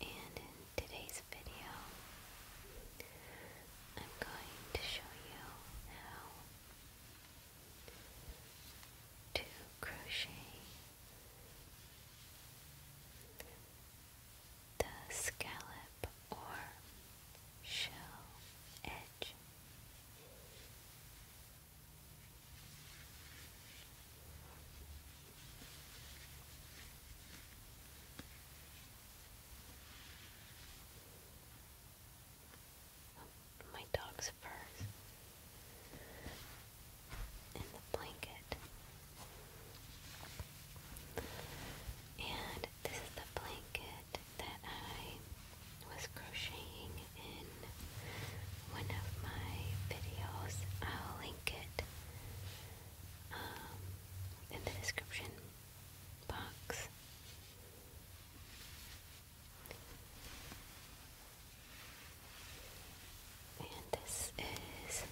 And in today's video, I'm going to show you how to crochet the scallop or shell edge. My dog's fur in the blanket. And this is the blanket that I was crocheting in one of my videos. I'll link it um, in the description box. And this is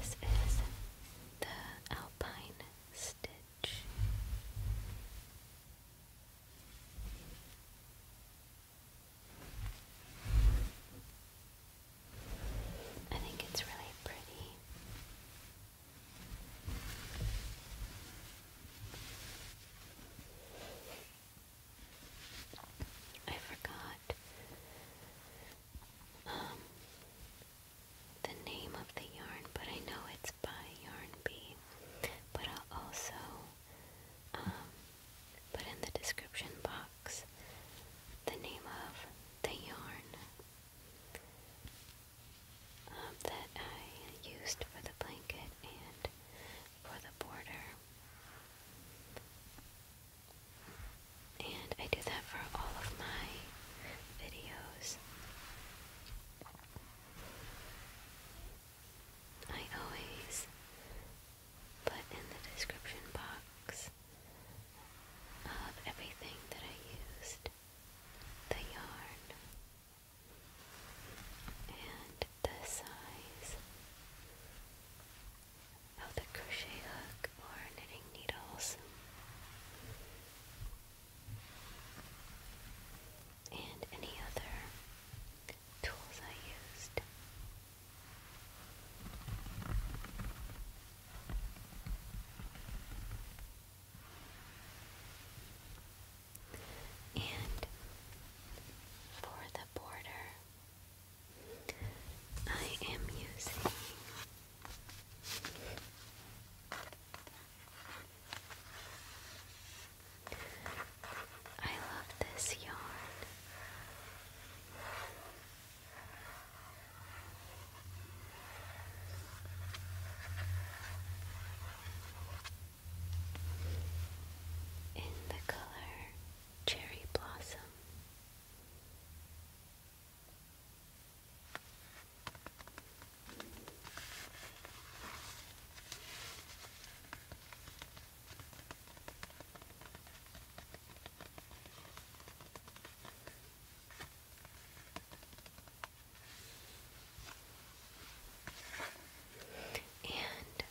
this is the Alpine Stitch. I think it's really pretty. I forgot um, the name of the yarn, but I know it's by Yarn Bee but I'll also um, put in the description box the name of the yarn um, that I used for the blanket and for the border. And I do that for all of my videos. I always put in the description box of everything that I used the yarn and the size of the crochet hook or knitting needles and any other tools I used. And for the border, I am using I love this yarn. In the color Cherry Blossom. And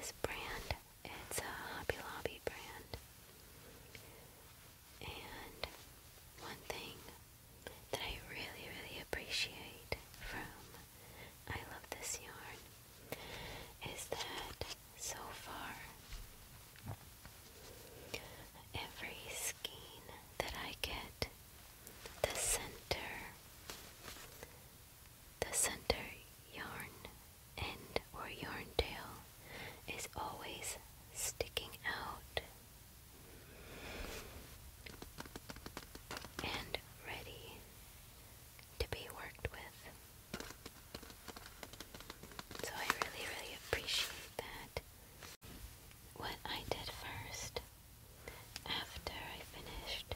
this brand, it's a Hobby Lobby brand. And one thing that I really, really appreciate from I Love This Yarn is that so far every skein that I get, the center, the center yarn end or yarn tail is always sticking out and ready to be worked with. So I really, really appreciate that. What I did first, after I finished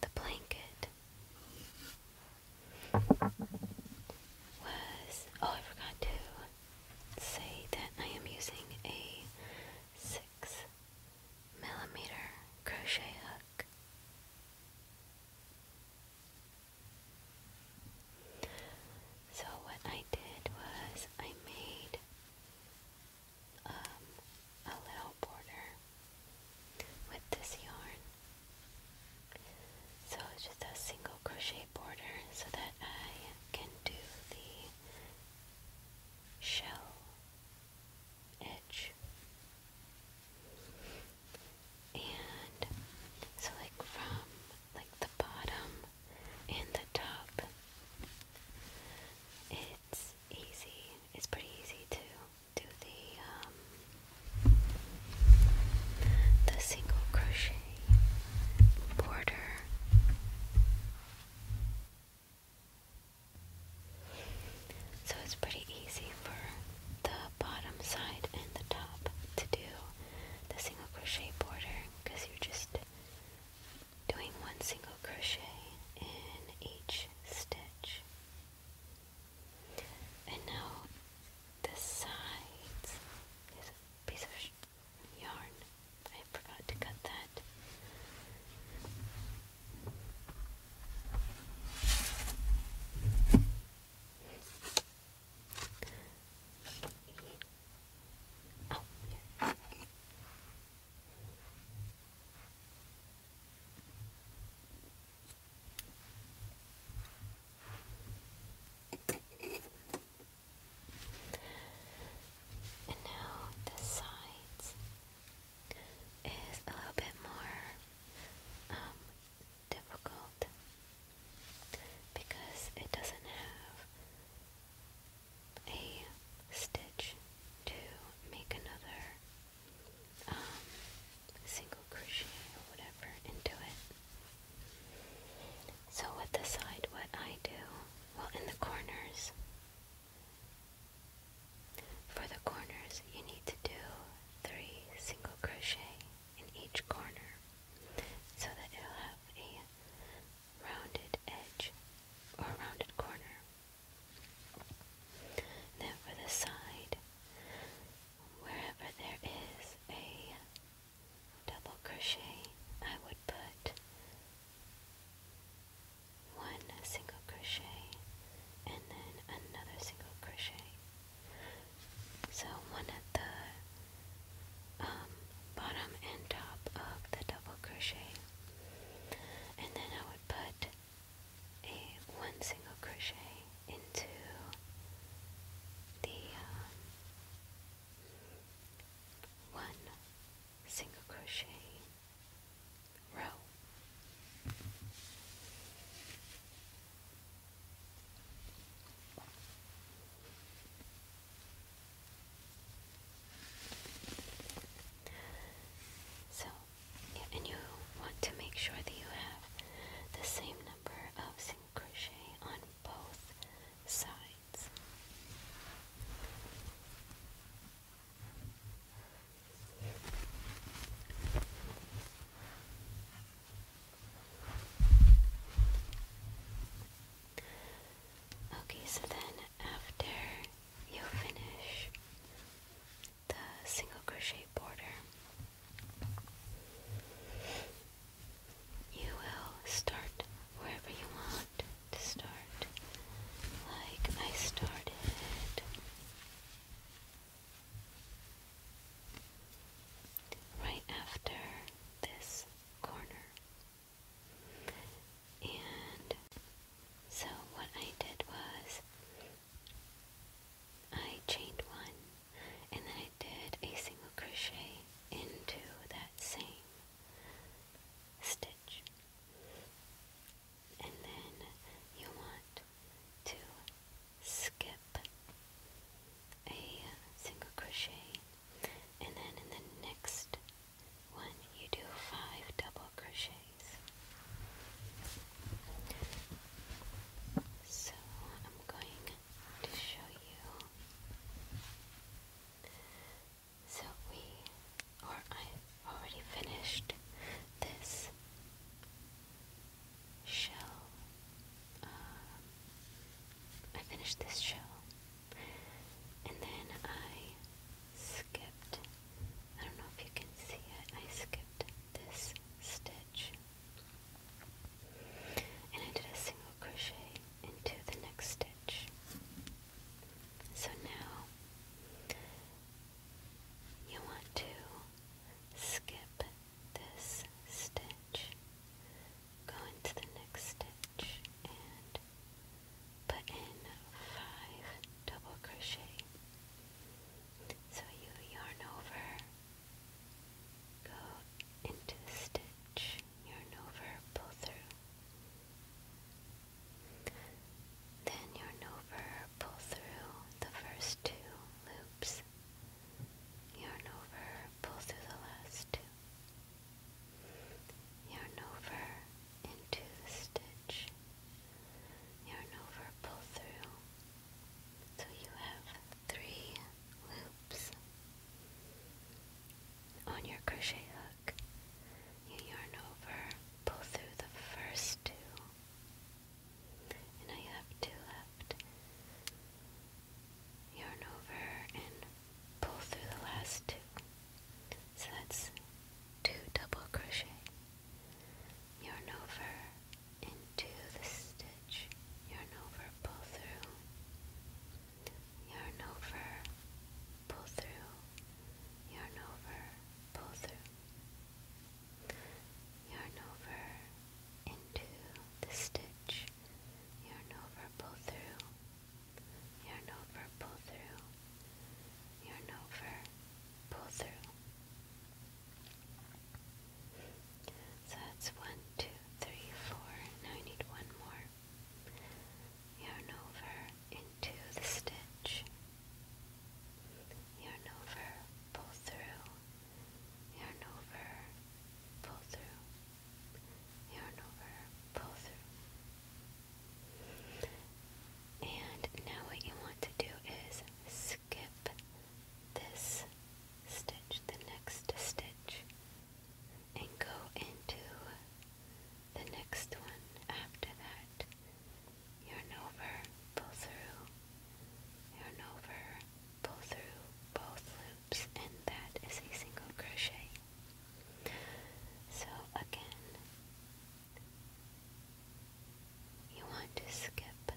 the blanket, was oh, I forgot to say that I am using a six millimeter crochet hook. So what I did was I made um, a little border with this yarn. So it's just a single crochet border so that I can do the shell edge. And so like from like the bottom and the top it's easy. It's pretty easy to do the um, the single crochet border so it's pretty easy for the bottom side and the top to do the single crochet border because you're just doing one single crochet in each stitch. And now the sides is piece of yarn I forgot to cut that. Oh, yeah. And now this side is a little bit more um, difficult because it doesn't have a stitch to make another um, single crochet or whatever into it. So with the side what I do, well in the corners, for the corners, you need to do three single crochet in each corner so that it'll have a rounded edge or rounded corner. Then for the side, wherever there is a double crochet, I would put one single crochet and then another single crochet so one at the um, bottom and top of the double crochet and then I would put a one single crochet into the um, one single crochet row. So, yeah, and you want to make sure that you have the same number of single crochet on both sides. Okay, so then after you finish the single crochet border, you will start wherever you want to start like I started. Right after this corner. And so, what I did was I chained one and then I did a single crochet into that same stitch. And then you want to skip a single crochet and then in the next one you do five double crochets. So I'm going to show you so we, or I already finished this shell. Uh, I finished this shell. And then I skipped, I don't know if you can see it, I skipped this stitch. And I did a single crochet into the next stitch. So now you want to skip this stitch, go into the next stitch, and put in five double crochet. So you yarn over, go into the stitch, yarn over, pull through, then your over pull through the first two loops. Yarn over, pull through the last two. Yarn over into the stitch. Yarn over, pull through. So you have three loops on your crochet hook. You yarn over, pull through the first two, and I have two left. Yarn over and pull through the last two. So that's two double crochet. Yarn over into the stitch. Yarn over, pull through. Yarn over, pull through yarn over, pull through, yarn over into the stitch, yarn over, pull through, yarn over, pull through, yarn over, pull through. So that's one, two, three, four. Now I need one more yarn over into the stitch, yarn over, pull through, yarn over, pull through, yarn over, pull through. And now what you want to do is skip this stitch, the next stitch, and go into the next one after that, your over, pull through, yarn over, pull through both loops, and that is a single crochet. So again, you want to skip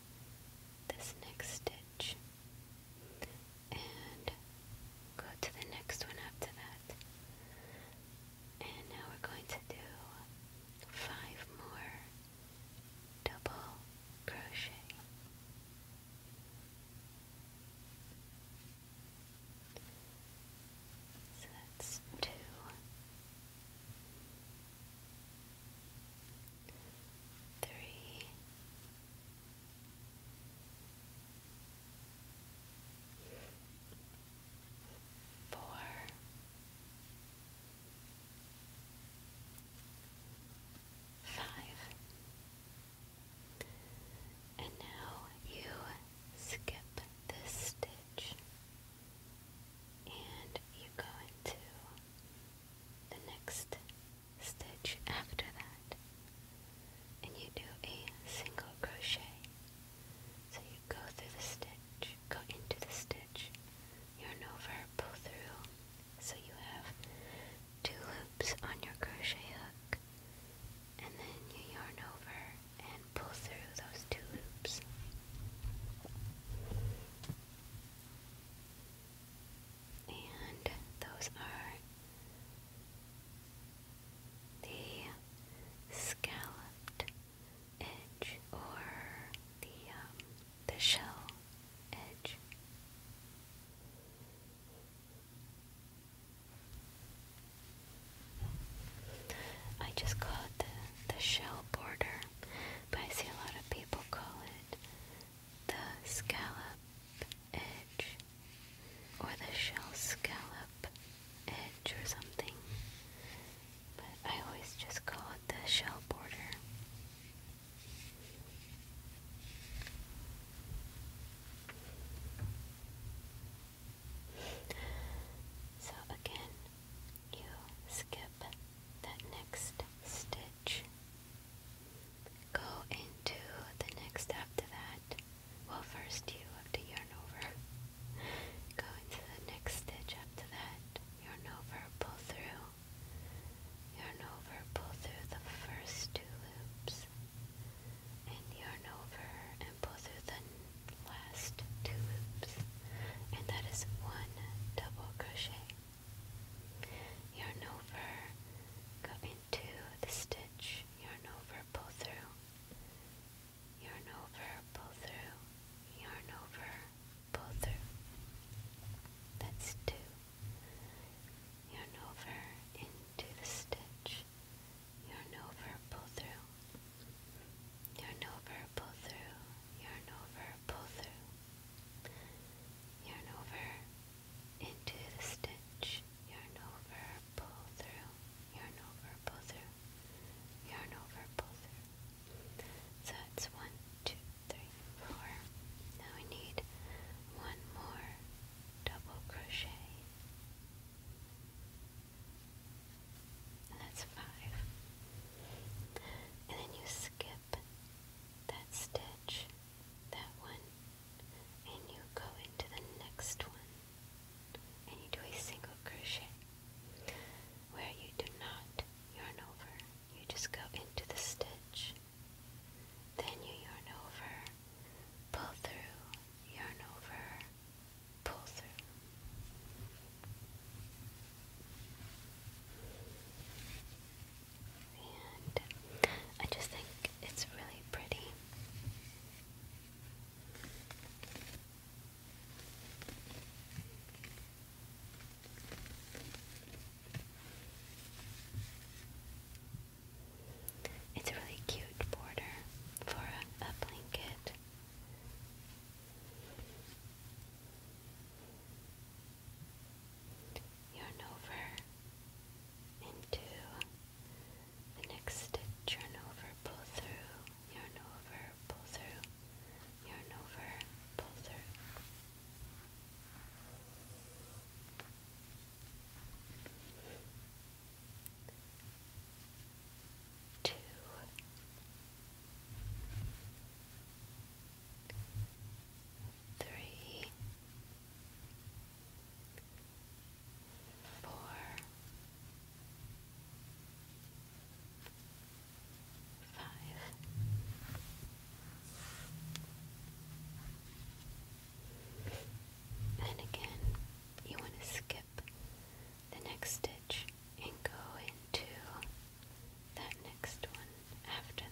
this next stitch and go to the next one after that. And now we're going to do five more double crochet. So that's two. Three, four, five. And now you skip this stitch and you go into the next stitch after that and you do a single crochet. So you go through the stitch, go into the stitch, yarn over, pull through, so you have two loops on your crochet hook, and then you yarn over and pull through those two loops. And those are the scalloped edge or the um, the shell edge. I just call it the, the shell border, but I see a lot of people call it the scallop edge or the shell scallop edge or something. But I always just call it the shell border. So again, you skip that next stitch, go into the next after that, well first you have to yarn over go into the next stitch up that yarn over pull through yarn over pull through the first two loops and yarn over and pull through the last two loops and that is one double crochet yarn over go into the stitch yarn over pull through yarn over, pull through, yarn over, pull through. That's two. Yarn over into the stitch, yarn over, pull through, yarn over, pull through, yarn over, pull through, yarn over into the stitch, yarn over, pull through yarn over, pull through, yarn over, pull through. So it's one, two, three, four. Now we need one more double crochet. And that's five. And then you skip that stitch, that one, and you go into the next one and you do a single crochet where you do not yarn over you just go into the stitch then you yarn over pull through yarn over pull through and I just think it's really pretty it's a really cute border for a, blanket. Yarn over into the next stitch, yarn over, pull through, yarn over, pull through, yarn over, pull through. Two. Three, four, five, and again, you want to skip the next stitch and go into that next one after that.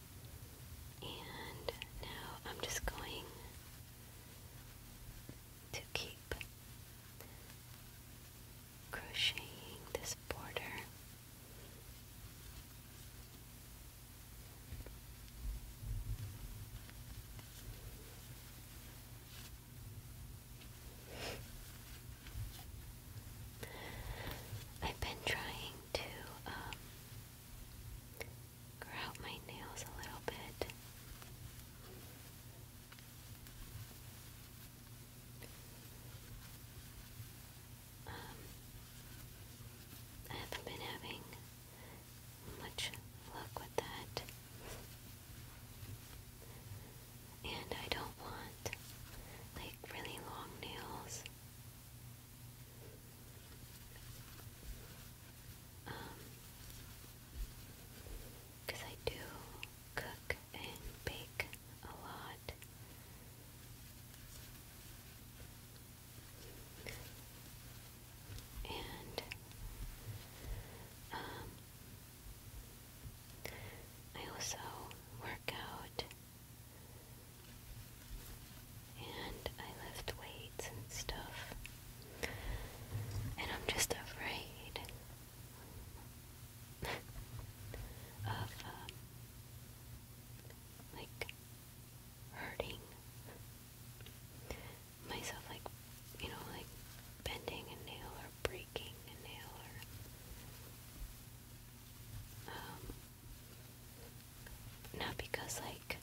And now I'm just going to keep crocheting this border. I've been trying to um, grow out my nails a little bit. Um, I haven't been having much luck with that. And I don't want like really long nails. Because um, I do cook and bake a lot. And um, I also work out and I lift weights and stuff. And I'm just afraid of, uh, like, hurting myself, like, you know, like bending a nail or breaking a nail or. Um, not because, like,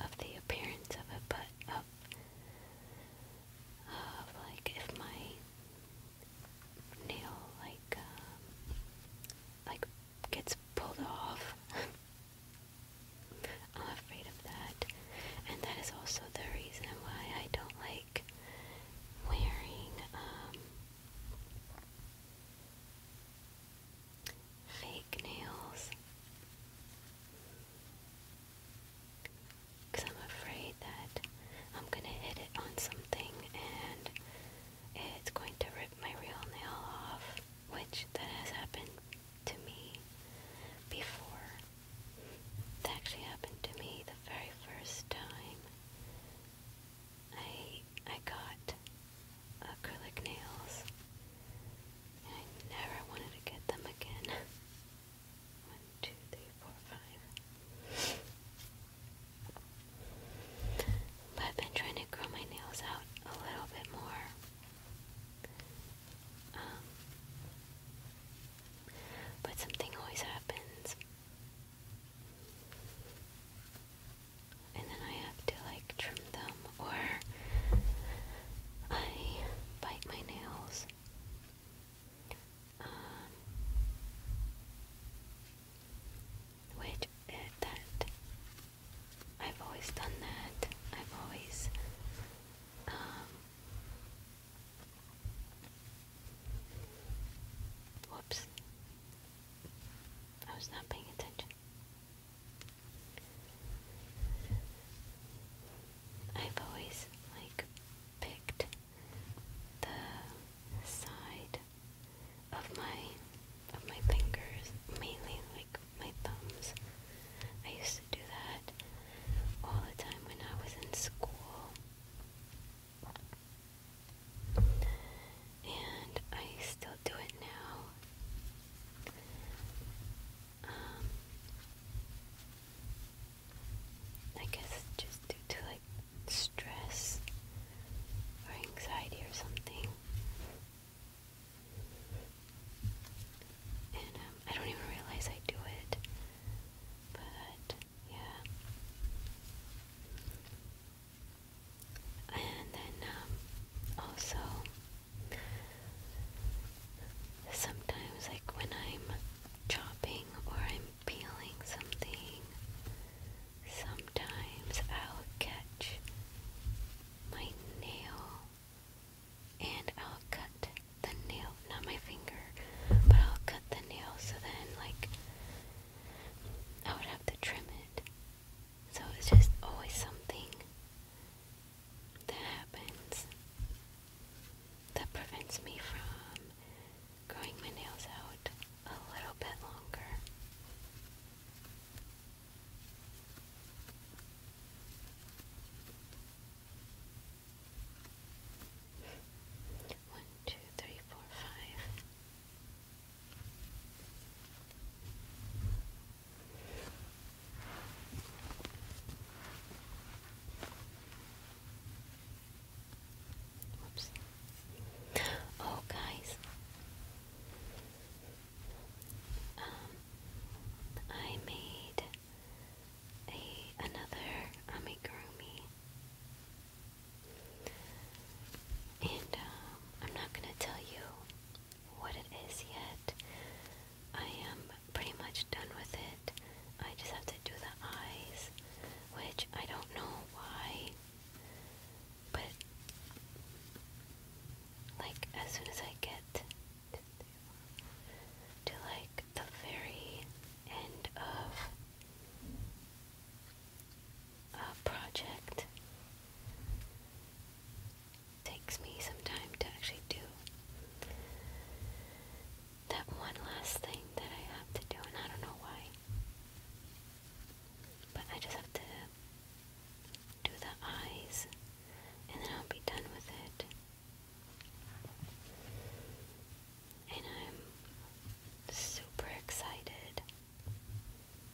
of the appearance of it, but of, like, if my nail, like, um, like, gets pulled off. I'm afraid of that. And that is also the reason why I don't like wearing, um, fake nails. Because I'm afraid that I'm going to hit it on something and it's going to rip my real nail off, which that has happened to me before. That actually happened to me the very first time I I got acrylic nails and I never wanted to get them again. One, two, three, four, five. But I've been trying to grow my nails out a little bit more. Um, but something always happens and then I have to like trim them or I bite my nails. Um, which uh, that I've always done that. I've always um, whoops. I was not paying attention. I've always like picked the side of my of my fingers, mainly like my thumbs. I used to do that all the time when I was in school and I still do it now. Um, I guess just due to like stress or anxiety or something. And um, I don't even realize I do it. But yeah and then um, also sometimes like when I'm chopping or I'm peeling something sometimes I'll catch my nail and I'll cut the nail not my finger but I'll cut the nail so then like I would have to trim it so it's just always something that happens that prevents me from growing my nails out a little bit longer. One, two, three, four, five. Oops. Oh, guys. Um, I made a another amigurumi. And um, I'm not going to tell you what it is yet. I am pretty much done with it. I just have to do the eyes, which I don't know why. But, like, as soon as I get to, like, the very end of uh, project takes me some time to actually do. That one last thing that I have to do, and I don't know why. But I just have to do the eyes, and then I'll be done with it. And I'm super excited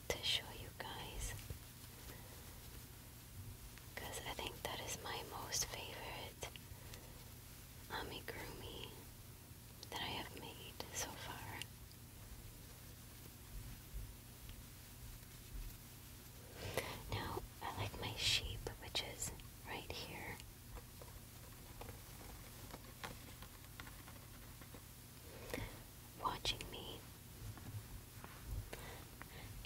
to show you guys because I think that is my most favorite amigurumi that I have made so far. Now, I like my sheep, which is right here watching me.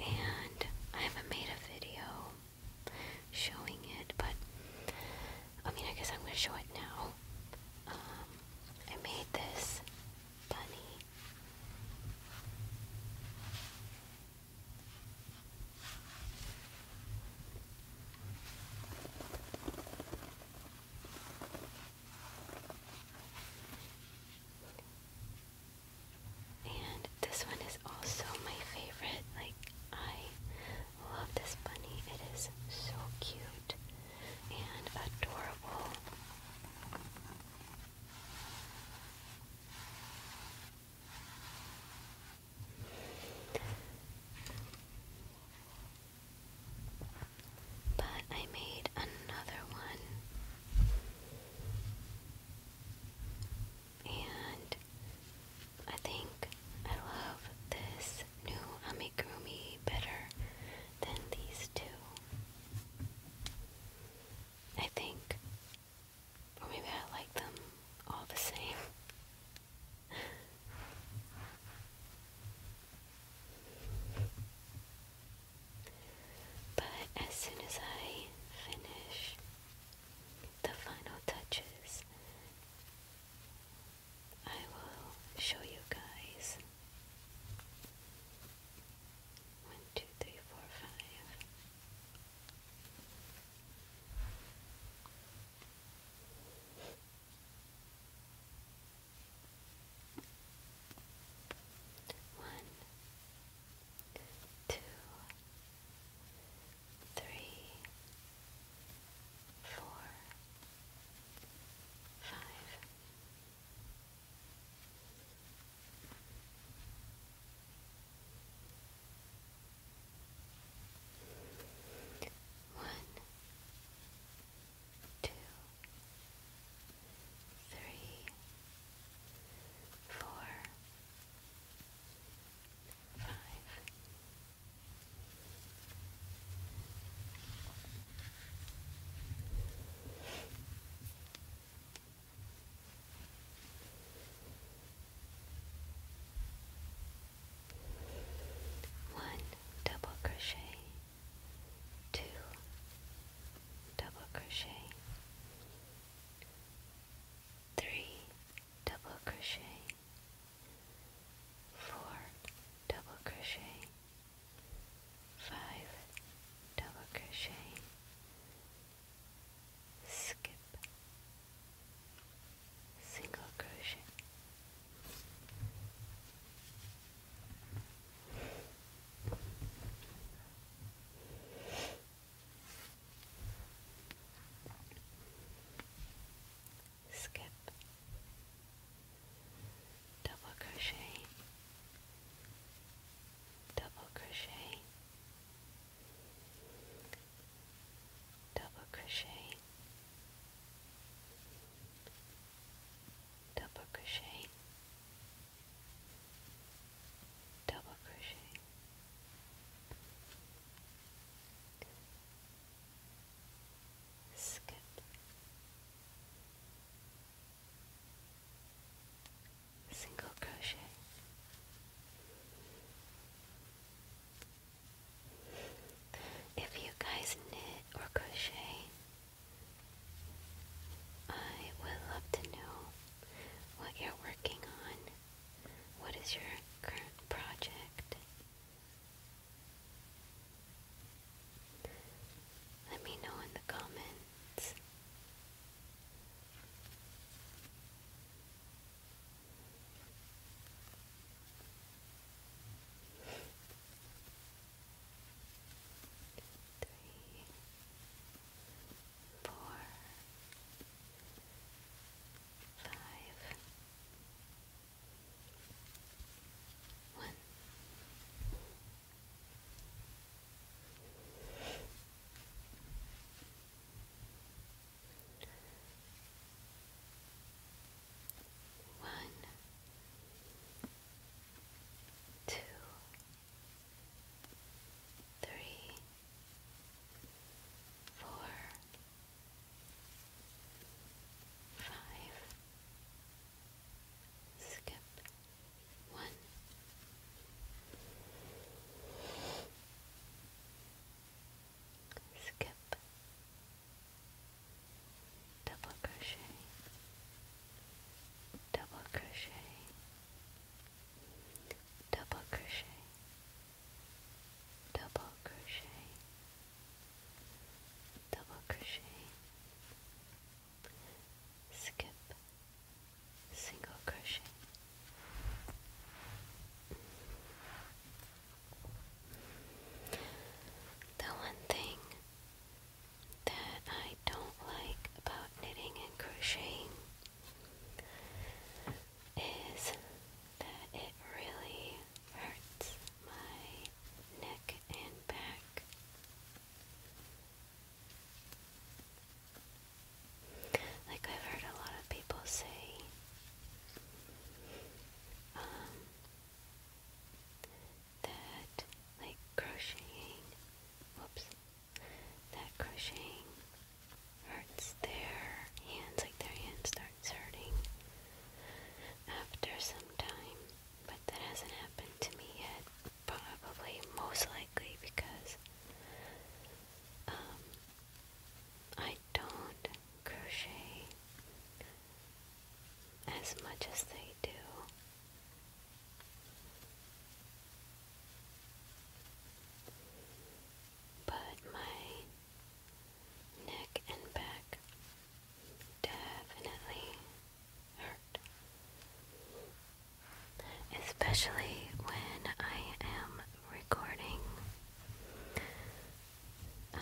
And I haven't made a video showing it, but I mean, I guess I'm gonna show it now. Um, I made this bunny. And this one is also my favorite. Like, I love this bunny. It is so cute and adorable. But I made another one. And I think I love this new amigurumi better than these two. I think. Or maybe I like them all the same. But as soon as I finish the final touches, I will show you guys. One, two, three, four, five. One, two, three, four, five. One, two, three, four, five. One double crochet two double crochet three double crochet four double crochet five double crochet skip single crochet Skip double crochet, double crochet, double crochet, double crochet double crochet skip single crochet if you guys knit or crochet I would love to know what you're working on. What is your current project? Let me know in the comments three, four, five, one. One, two, three, four, five. Skip one. Skip double crochet, double crochet, double crochet, double crochet, double crochet, skip, single crochet. The one thing that I don't like about knitting and crocheting is that it really hurts my neck and back. Like I've heard a lot of people say, um, that like crocheting whoops that crocheting hurts their hands like their hands starts hurting after some time but that hasn't happened to me yet probably most likely because um, I don't crochet as much as they do but my neck and back definitely hurt. Especially when I am recording um,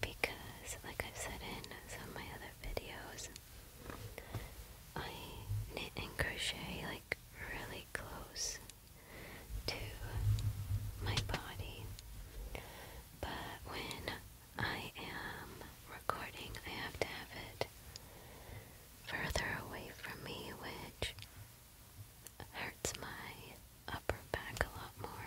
because, like I've said in some of my other videos, I knit and crochet like really close to my body. But when I am recording, I have to have it further away from me, which hurts my upper back a lot more.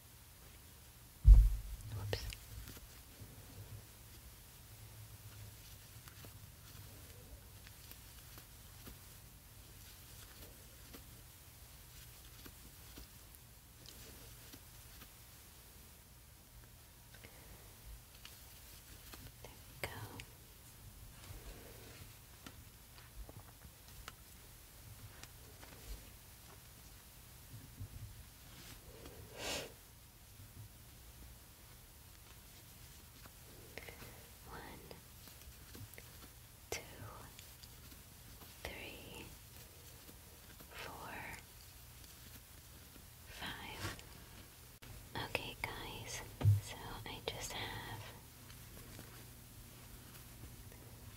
Whoops. There we go. One, two, three, four, five. Okay, guys, so I just have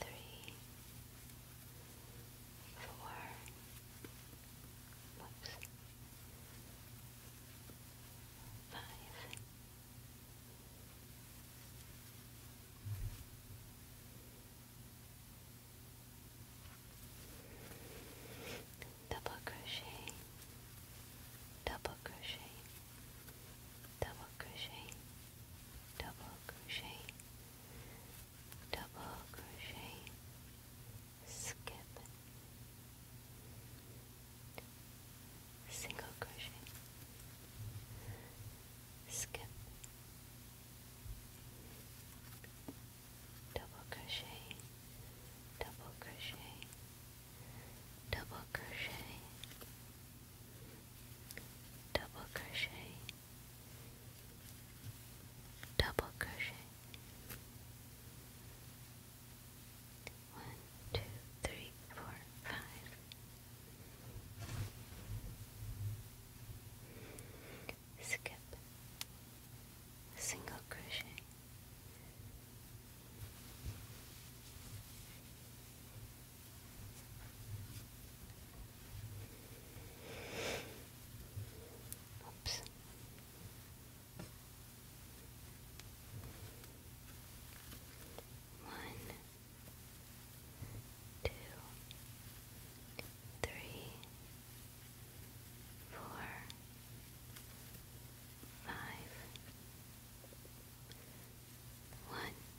three, Double crochet, double crochet, double crochet, double crochet, double crochet, skip, single crochet, skip, double crochet, double crochet, double crochet double crochet double crochet one two three four five skip single crochet Oops. One, two, three, four, five. One,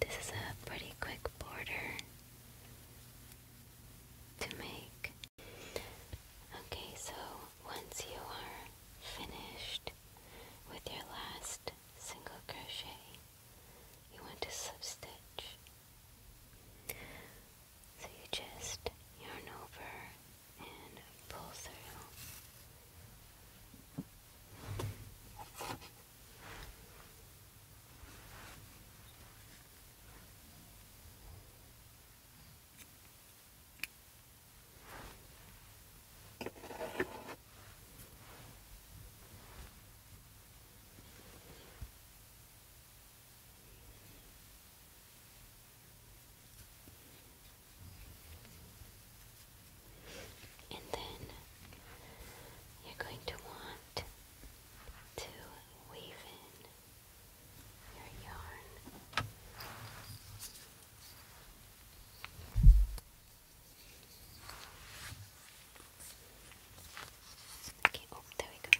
This is a pretty quick border to make. Okay, so once you are finished with your last single crochet, you want to slip stitch. So you just yarn over and pull through. And then you're going to want to weave in your yarn. Okay, oh, there we go.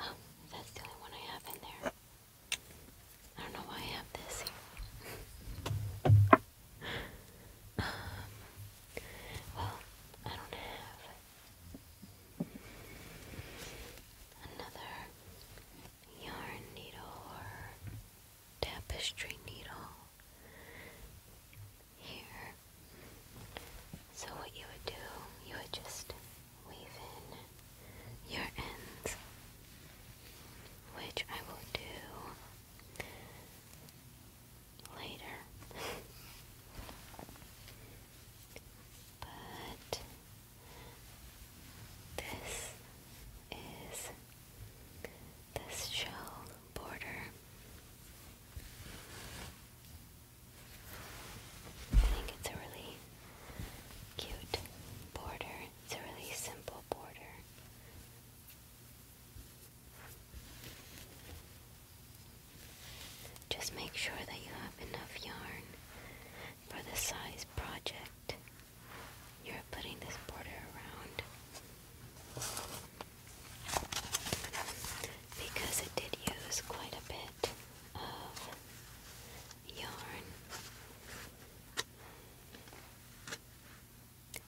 Oh, that's the only one I have in there. I don't know why I have this um, well, I don't have another yarn needle or tapestry needle here. So what you would do, you would just weave in your ends, which I will do later. but this is this shell border. I think it's a really cute border. It's a really simple border. Just make sure that you have enough yarn for the size project you're putting this border around. Because it did use quite a bit of yarn.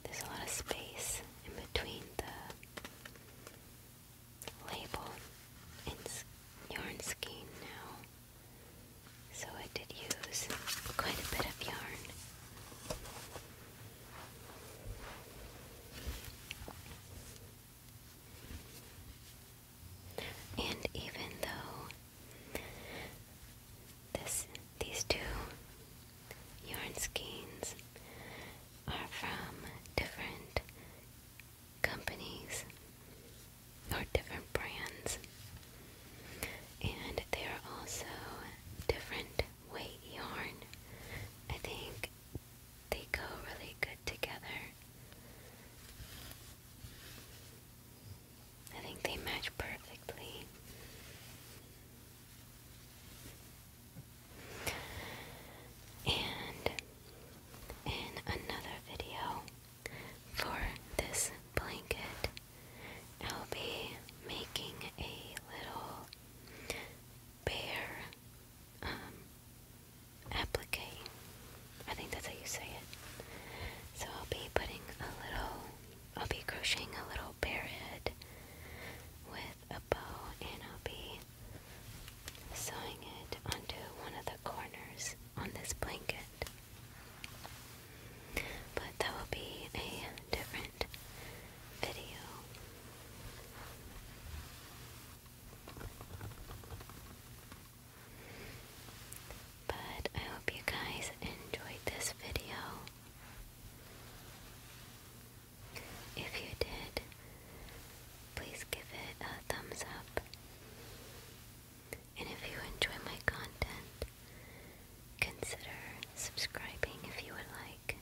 There's a lot of space in between the label and yarn skein now, so I did use quite a bit of yarn. And even though this these two yarn skeins are from different companies or different brands and they are also different weight yarn. I think they go really good together. I think they match perfectly. And in another video for this blanket, I'll be making a little bear um, applique. I think that's how you say it. So I'll be putting a little, I'll be crocheting a little bear head with a bow and I'll be sewing it onto one of the corners on this blanket. But that will be a different video. But I hope you guys enjoyed this video. If you did, please give it a thumbs up. And if you enjoy my content, consider subscribing if you would like.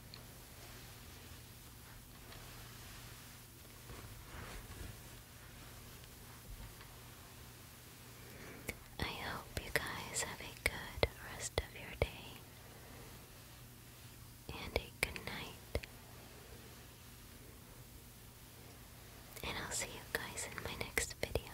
I hope you guys have a good rest of your day and a good night. And I'll see you guys in my next video.